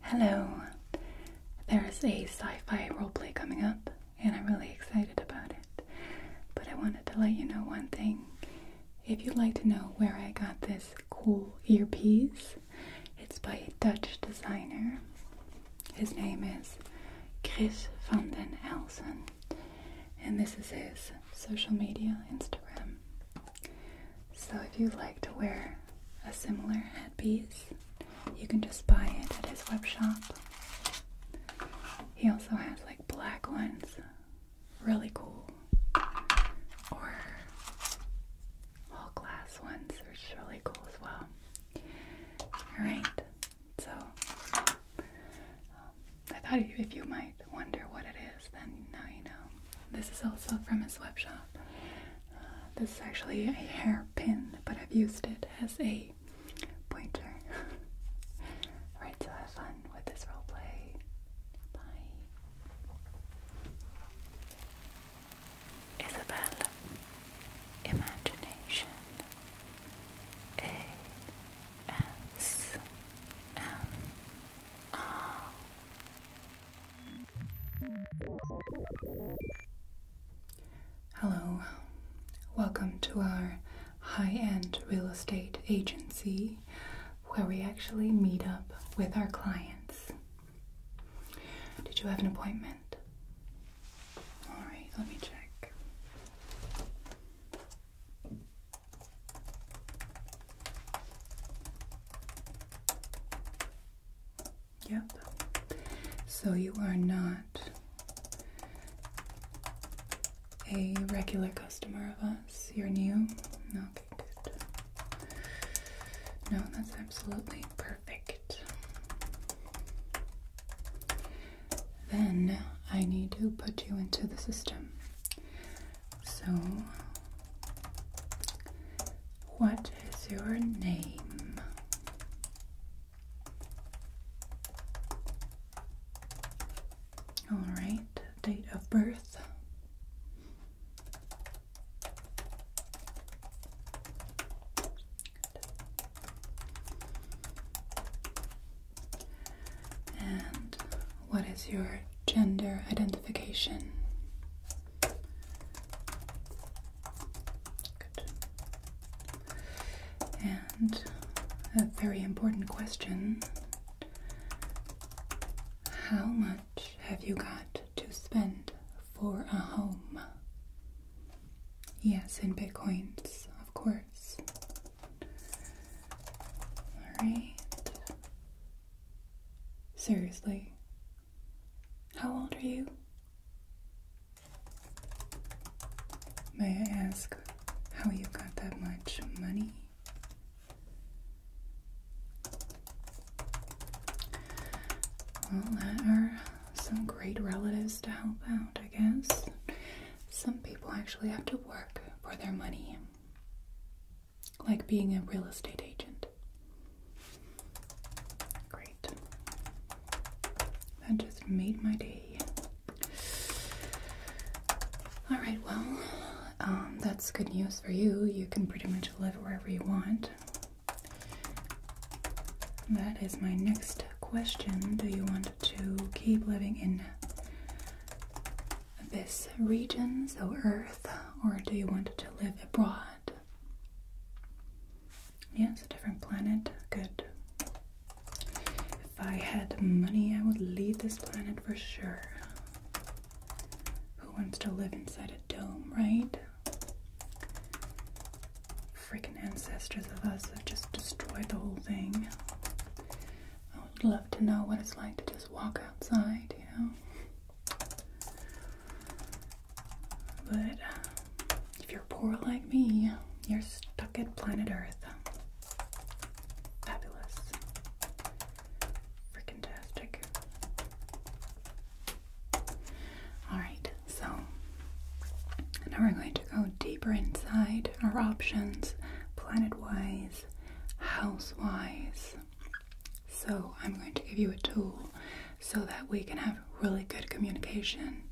Hello, there's a sci fi roleplay coming up, and I'm really excited about it. But I wanted to let you know one thing. If you'd like to know where I got this cool earpiece, it's by a Dutch designer. His name is Chris van den Elsen, and this is his social media Instagram. So if you like to wear a similar headpiece, you can just buy it at his web shop. He also has like black ones, really cool, or all glass ones, which is really cool as well. Alright, so um, I thought if you might wonder what it is then now you know. This is also from a swap shop. Uh, this is actually a hairpin, but I've used it as a pointer. Alright, so have fun with this roleplay. Bye. Isabel. Imagination. A S M R Hello, welcome to our high end real estate agency where we actually meet up with our clients. Did you have an appointment? Alright, let me check. Yep. So you are not a regular customer of us. You're new? Okay, good. No, that's absolutely perfect. Then I need to put you into the system. So, what is your name? All right, date of birth. And what is your gender identification? And a very important question How much have you got to spend for a home? Yes, in bitcoins, of course. All right. Seriously, how old are you? May I ask how you got that much money? Well, that are some great relatives to help out, I guess. Some people actually have to work for their money like being a real estate agent. Great. That just made my day. Alright, well, um, that's good news for you. You can pretty much live wherever you want. That is my next question. Do you want to keep living in this region, so Earth, or do you want to live abroad? Yeah, it's a different planet. Good. If I had money, I would leave this planet for sure. Who wants to live inside a dome, right? Freaking ancestors of us have just destroyed the whole thing. I would love to know what it's like to just walk outside, you know? But if you're poor like me, you're stuck at planet Earth. Fabulous. Freaking tastic. Alright, so now we're going to go deeper inside our options planet wise, house wise. So I'm going to give you a tool so that we can have really good communication,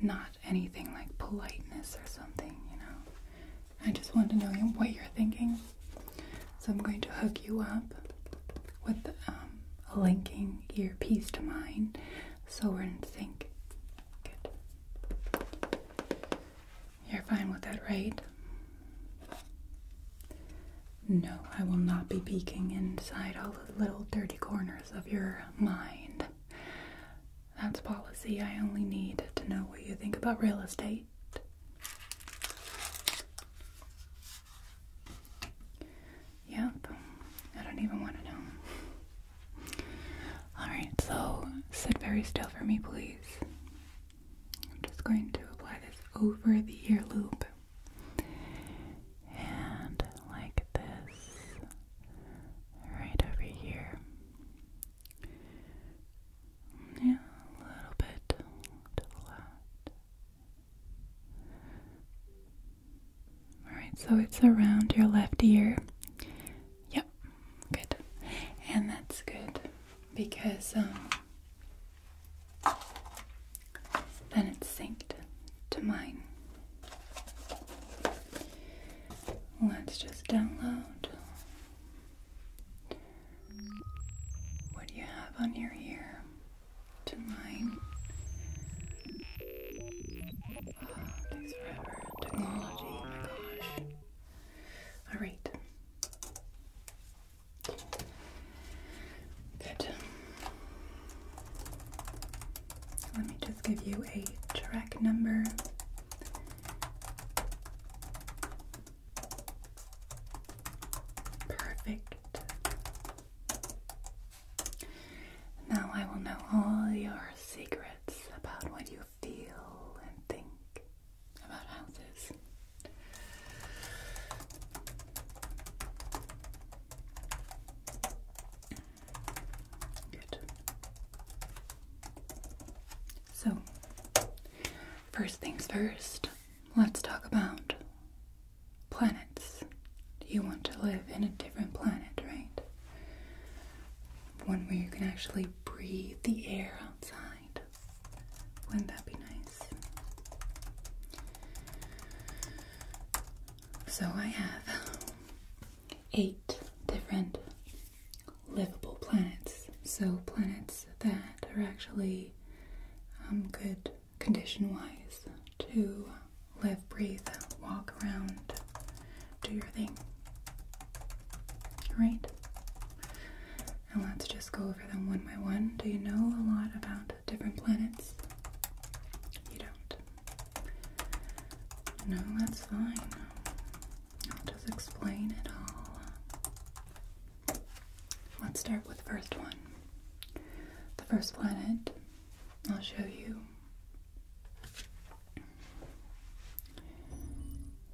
not anything like politeness or something, you know. I just want to know what you're thinking. So I'm going to hook you up with um, a linking earpiece to mine so we're in sync. You're fine with that, right? No, I will not be peeking inside all the little dirty corners of your mind. That's policy. I only need to know what you think about real estate. Yep, I don't even want to know. Alright, so sit very still for me, please. I'm just going to apply this over the ear loop and like this, right over here. Yeah, a little bit to the left. Alright, so it's around your left ear. Yep, good. And that's good because um, then it synced to mine. Let's just download what you have on your ear to mine. takes forever. Technology, my gosh. Alright. Good. Let me just give you a track number. Perfect. Now I will know all your secrets about what you feel and think about houses. So, first things first, let's talk about planets. You want to live in a different planet, right? One where you can actually breathe the air outside. Wouldn't that be nice? So I have eight different livable planets. So planets that are actually um, good condition wise to live, breathe, walk around, do your thing. Right? And let's just go over them one by one. Do you know a lot about different planets. You don't. No, that's fine. I'll just explain it all. Let's start with the first one. The first planet I'll show you. If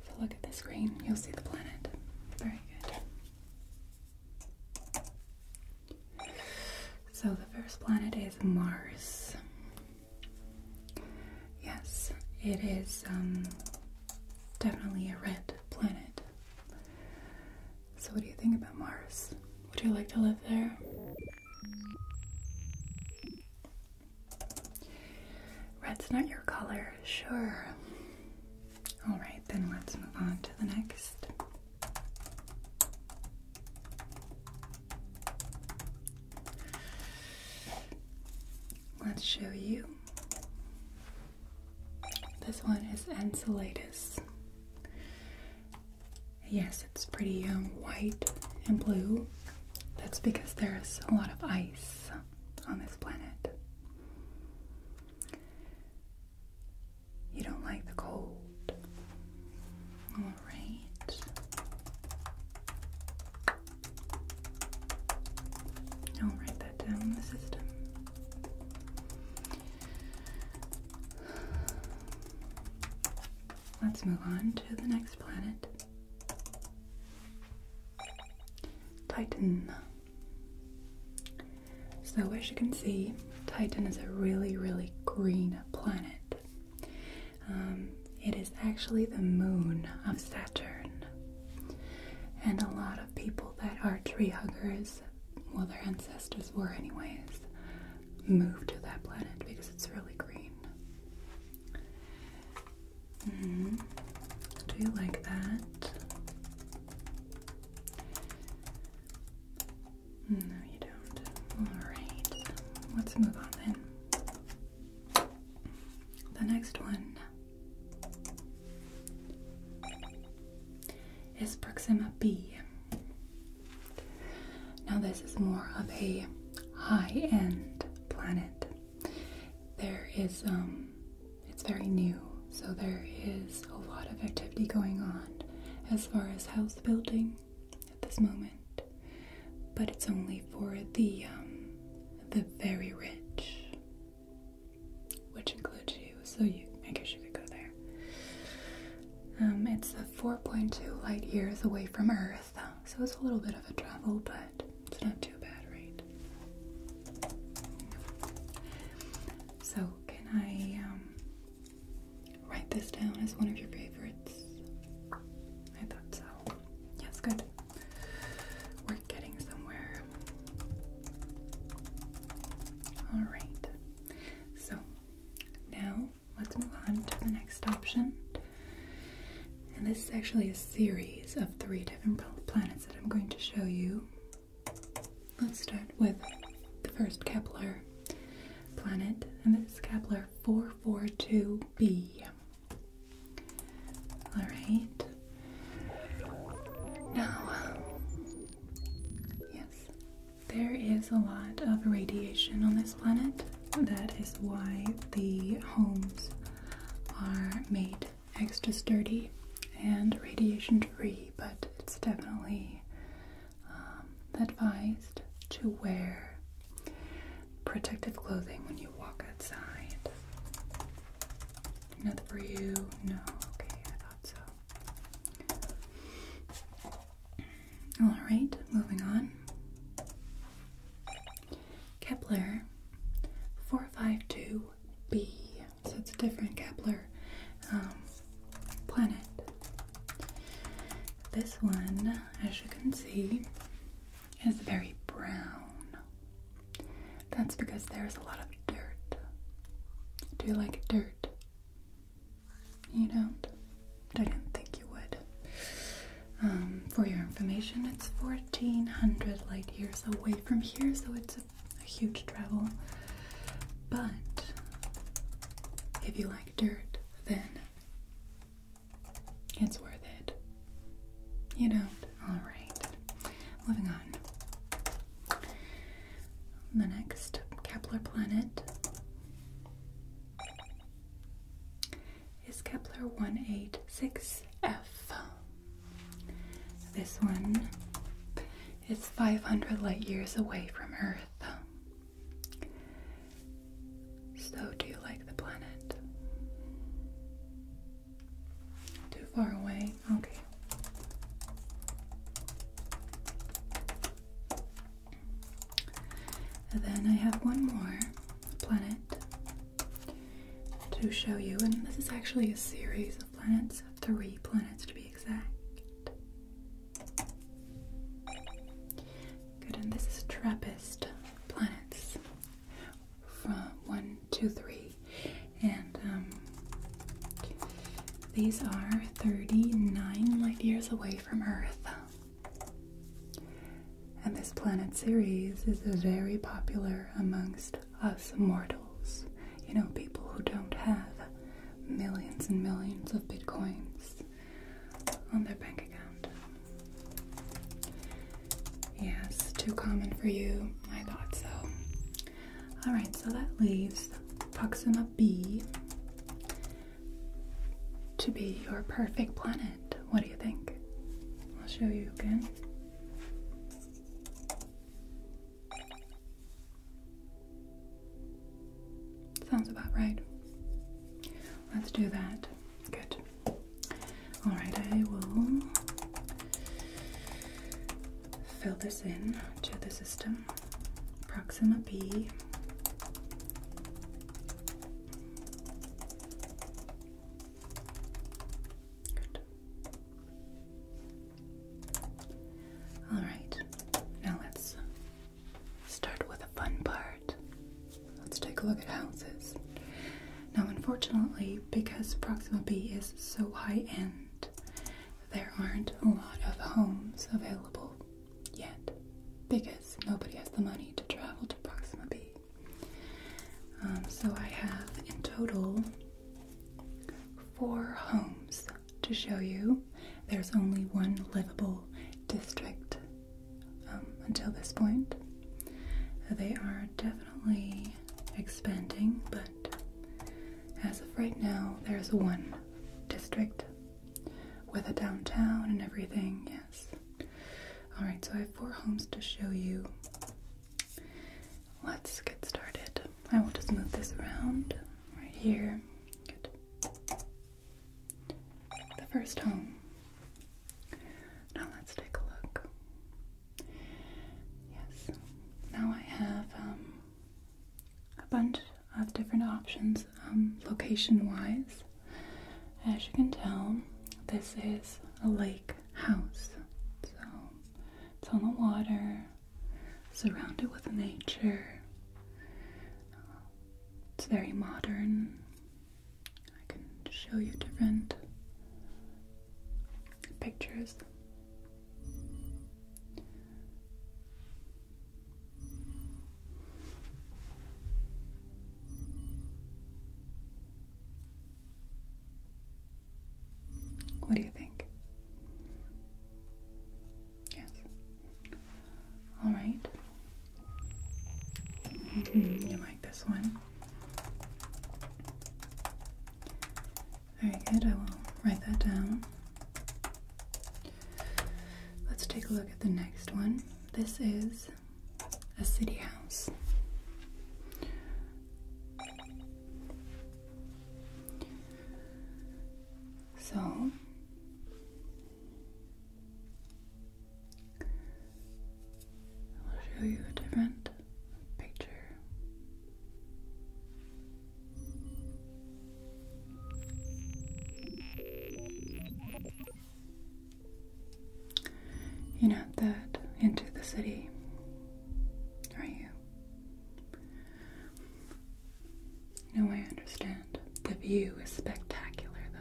you look at the screen, you'll see the planet. Very good. So the first planet is Mars. Yes, it is um, definitely a red planet. So, what do you think about Mars? Would you like to live there? Red's not your color, sure. All right, then let's move on to the next. Let's show you. This one is Enceladus. Yes, it's pretty um, white and blue. That's because there's a lot of ice on this planet. You don't like the cold. All right. I'll write that down in the system. Let's move on to the next planet. Titan. So, as you can see, Titan is a really, really green planet. Um, it is actually the moon of Saturn. And a lot of people that are tree huggers, well, their ancestors were, anyways, moved to that planet because it's really green. Mm-hmm. Do you like that? No, you don't. Alright, let's move on then. The next one is Proxima B. Now, this is more of a high end planet. There is, um, it's very new. So there is a lot of activity going on as far as house building at this moment, but it's only for the um, the very rich, which includes you. So you, I guess you could go there. Um, it's 4.2 light years away from Earth, so it's a little bit of a travel, but it's not too bad, right? So can I um, Write this down as one of your favorites. I thought so. Yes, good. We're getting somewhere. Alright. So, now let's move on to the next option. And this is actually a series of three different planets that I'm going to show you. Let's start with the first Kepler planet, and it's Kepler 442b. Alright. Now, yes, there is a lot of radiation on this planet. That is why the homes are made extra sturdy and radiation free, but it's definitely um, advised to wear protective clothing when you walk outside. Not for you? No. Okay, I thought so. Alright, moving on. Kepler 452b so it's a different Kepler um, planet. This one, as you can see, is very brown. That's because there's a lot of dirt. Do you like dirt? You don't? I didn't think you would. Um, for your information, it's 1400 light years away from here, so it's a a huge travel. But if you like dirt, then it's worth it. You know. Alright. Moving on. The next Kepler planet is Kepler 186f. This one is 500 light years away from Earth. So, do you like the planet? Too far away? Okay. then I have one more planet to show you, and this is actually a series of planets, three planets to be exact. Good, and this is Trappist planets from one, two, three, and um, these are 39 light years away from Earth. And this planet series is very popular amongst us mortals, you know, people who don't have millions and millions of bitcoins on their bank account. Yes, too common for you. I thought so. Alright, so that leaves Proxima b to be your perfect planet. What do you think? I'll show you again. Sounds about right. Let's do that. Good. All right, I will fill this in to the system. Proxima B. All right, now let's Start with a fun part. Let's take a look at houses. Now, unfortunately, because Proxima B is so high end, there aren't a lot of homes available yet because nobody has the money to travel to Proxima B. Um, so, I have in total four homes to show you. There's only one livable district um, until this point. They are definitely expanding, but as of right now, there's one district with a downtown and everything, yes. Alright, so I have four homes to show you. Let's get started. I will just move this around right here. Good the first home. Now let's take a look. Yes, now I have um, a bunch of different options um, location wise. As you can tell, this is a lake house, so it's on the water surrounded with nature. It's very modern. I can show you different pictures. What do you think? Yes. All right. Mm-hmm. You like this one? Very good. I will write that down. Let's take a look at the next one. This is a city house. So, I'll show you a different picture. You're not that into the city, are you? No, I understand. The view is spectacular, though.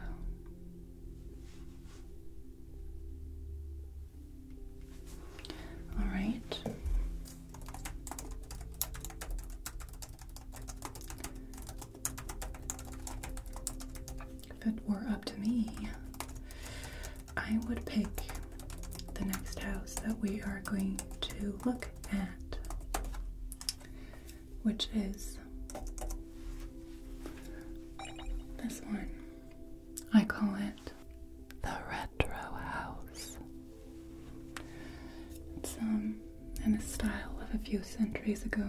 All right. If it were up to me, I would pick the next house that we are going to look at which is this one. I call it the Retro House. It's um in the style of a few centuries ago.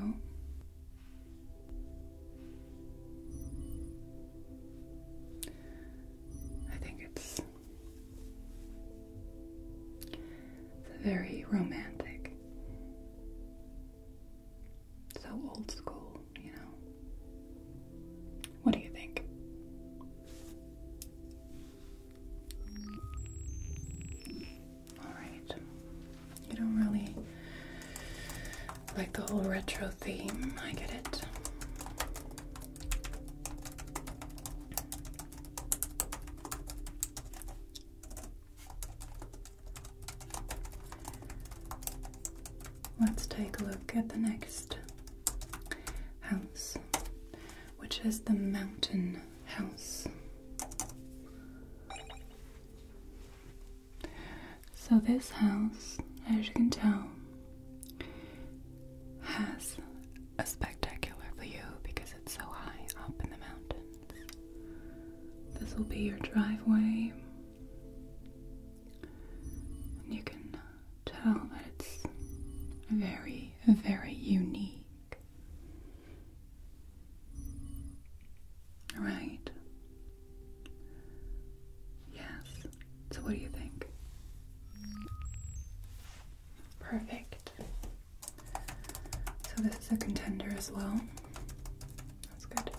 I think it's very romantic. So old school, you know. What do you think? Alright. You don't really like the whole retro theme. I get it. Let's take a look at the next house, which is the mountain house. So, this house, as you can tell, has a spectacular view because it's so high up in the mountains. This will be your driveway. And you can tell that it's very, very unique. Right? Yes. So, what do you think? Perfect. So this is a contender as well. That's good.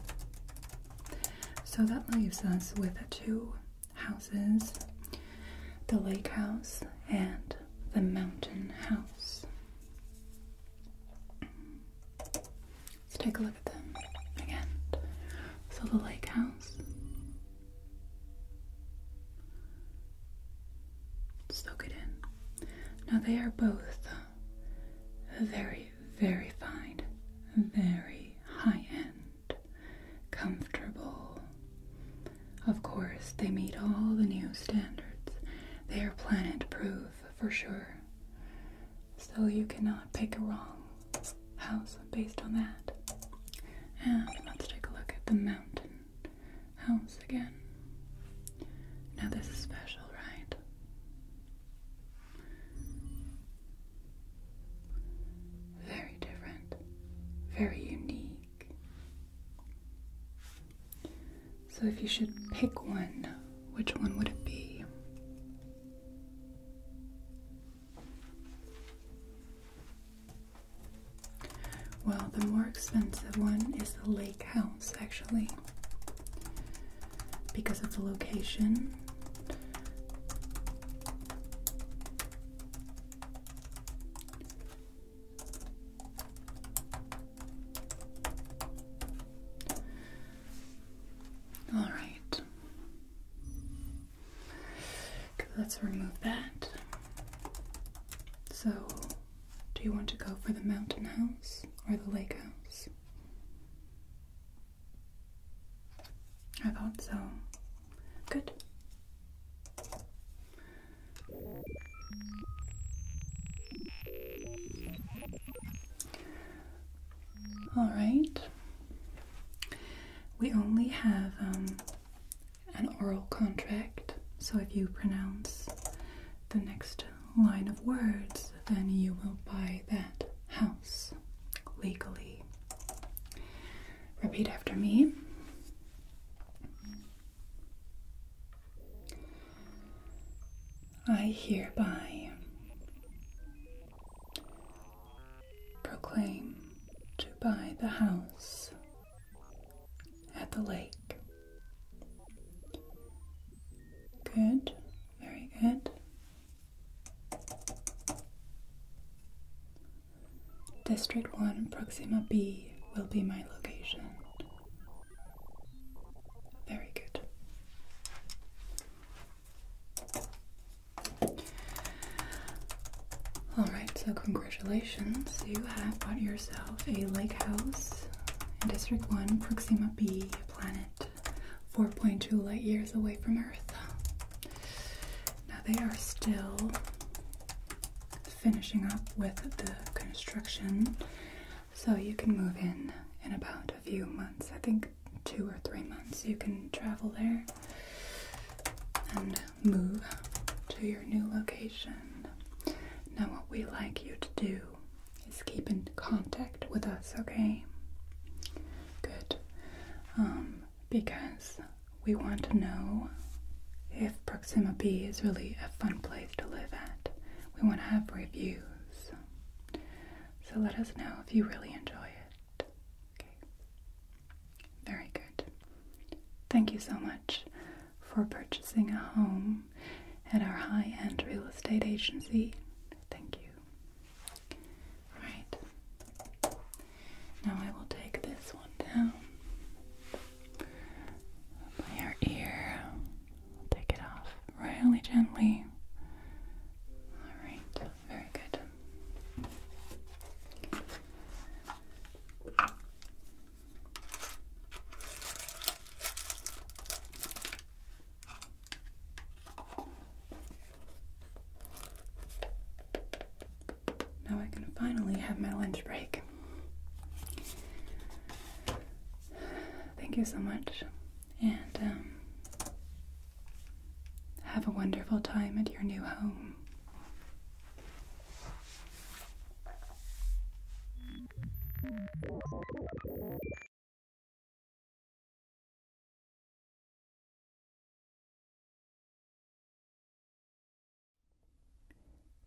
So that leaves us with two houses, the lake house and the mountain house. Let's take a look at them again. So the lake house Soak it in. Now, they are both very, very fine, very high end, comfortable. Of course, they meet all the new standards. They are planet proof for sure. So, you cannot pick a wrong house based on that. And let's take a look at the mountain house again. Now, this is special, right? Very different, very unique. So, if you should pick one, which one would it be? Well, the more expensive one is the lake house, actually, because of the location. All right. Let's remove that. So do you want to go for the mountain house or the lake house? I thought so. Good. All right. We only have um, an oral contract. So if you pronounce the next line of words, then you will buy that house legally. Repeat after me. I hereby proclaim to buy the house at the lake Good, very good. District 1, Proxima B will be my location. Very good. Alright, so congratulations. You have bought yourself a lake house in District 1, Proxima B, planet 4.2 light years away from Earth. Now they are still finishing up with the construction, so you can move in in about a few months. I think two or three months you can travel there and move to your new location. Now, what we like you to do is keep in contact with us, okay? Good. Um, because we want to know if Proxima B is really a fun place to live at. We want to have reviews. So let us know if you really enjoy it. Okay. Very good. Thank you so much for purchasing a home at our high end real estate agency. Thank you. Alright. Now I will take this one down by your ear. take it off really gently. Alright, very good. Now I can finally have my lunch break. Thank you so much, and um, have a wonderful time at your new home.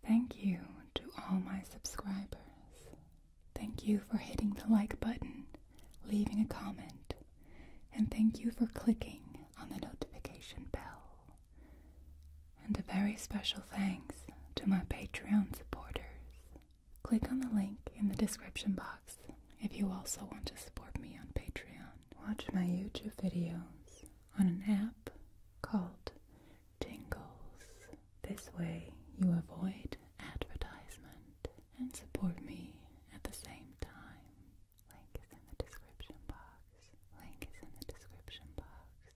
Thank you to all my subscribers. Thank you for hitting the like button, leaving a comment, and thank you for clicking on the notification bell. And a very special thanks to my Patreon supporters. Click on the link in the description box if you also want to support me on Patreon. Watch my YouTube videos on an app called Tingles. This way you avoid advertisement and support me at the same time. Link is in the description box. Link is in the description box.